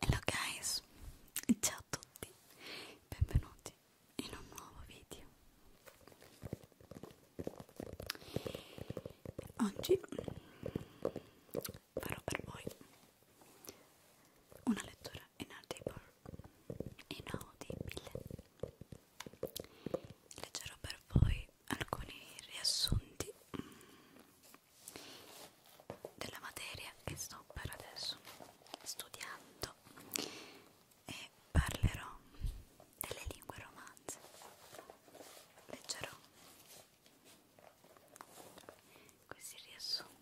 Hello guys, ciao a tutti, benvenuti in un nuovo video. Oggi farò per voi una lettura inaudible, inaudibile. Leggerò per voi alcuni riassunti mm, della materia che sto per adesso studiando e parlerò delle lingue romanze leggerò questi riassunti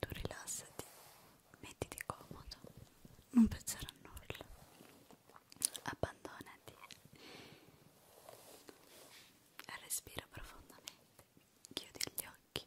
tu rilassati mettiti comodo non pensare a nulla abbandonati respira profondamente chiudi gli occhi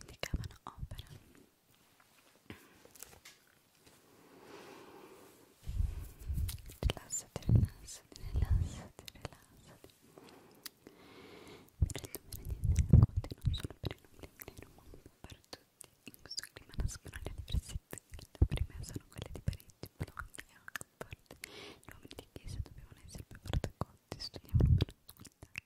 indicavano opera rilassati, rilassati, rilassati, rilassati mi rendo meraviglia delle racconti non solo per i numeri nero ma un po' per tutti in questo clima nascono le diversità le prime sono quelle di Parigi, Bologna e Oxford gli uomini di chiesa dovevano essere più protecotti studiavano per l'università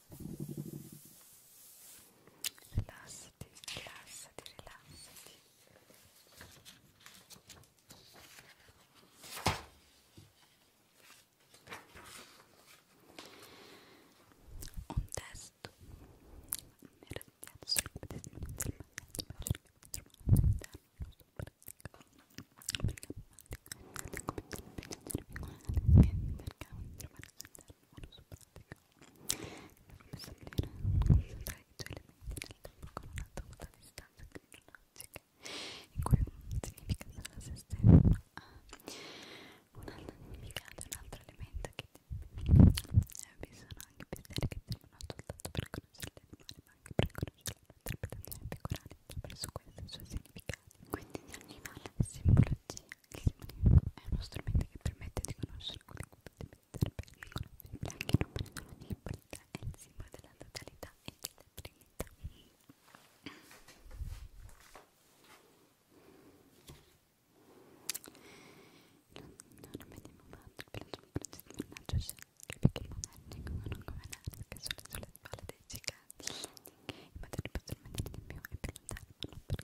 rilassati, rilassati, rilassati un testo mi era piaciuto perché non trovare all'interno uno sopra pratica mi fa sembrare elementi nel tempo con un'altra distanza cronologica in cui un significa solo se stesso ha un'altra significato un altro elemento che vi sono anche pensieri che servono soltanto per conoscere l'animale ma anche per conoscere le interpretazioni più curate attraverso questi suoi significati quindi ogni animale simbologia è uno strumento che permette di conoscere quelle cose che potete mettere per i non prendono l'importanza, è il simbolo della totalità e della trinità. Non vediamo molto cioè, il piloto mannaggia c'è anche perché i monarchi non come anarchi solo sulle spalle dei giganti. I materni possono mandare di più e più lontano, ma non per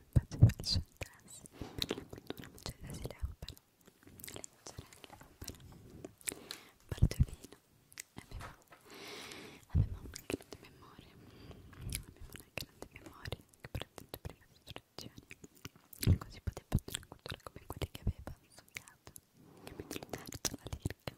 faceva il suo interesse per la cultura Mercedes Leopard, le sorelle Leopard, Baldovino aveva, aveva una grande memoria, aveva una grande memoria che protegge prima le istruzioni, così poteva fare una cultura come quelle che aveva studiato, capitalizzarci alla lirica,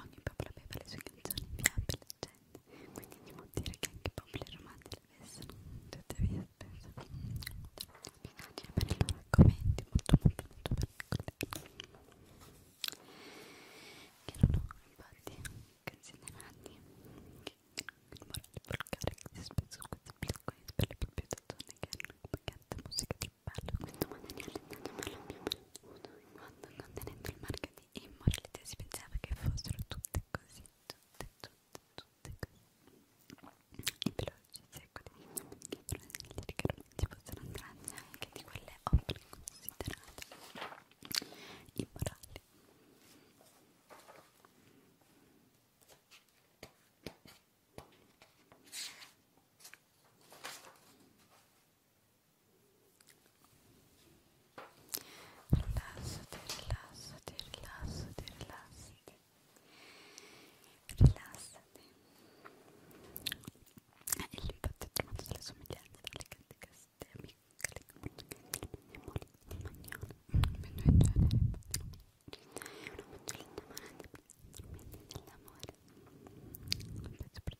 ogni popolo aveva le sue canzoni fiabe, leggende quindi si può dire che anche i popoli romani l'avessero tutte via spesa per i loro argomenti molto molto molto particolari che non ho infatti considerati che il morale volgare che si spesso questi piccoli per le proprie persone che hanno un pacchetto musica di ballo questo materiale è stato per lo più uso in quanto contenendo il marketing di immoralità si pensava che fossero tutte così, tutte, tutte, tutte così e veloci, secoli che sono che non si possono andare anche di quelle opere considerate immorali Rilassati, rilassati, rilassati, rilassati. Rilassati. E lui infatti ha trovato delle somiglianze tra le cante caste amiche, le conoscenze, le magnone, per noi generi, una fanciullina malata, i mezzi dell'amore, un pezzo per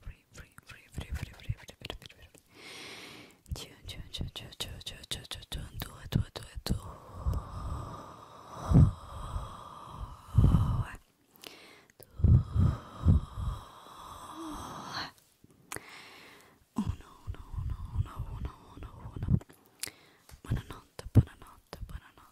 free, free, free, free, free, free, free, free, free. Oh no, no, no, no, no, no, no. Buonanotte, buonanotte, buonanotte.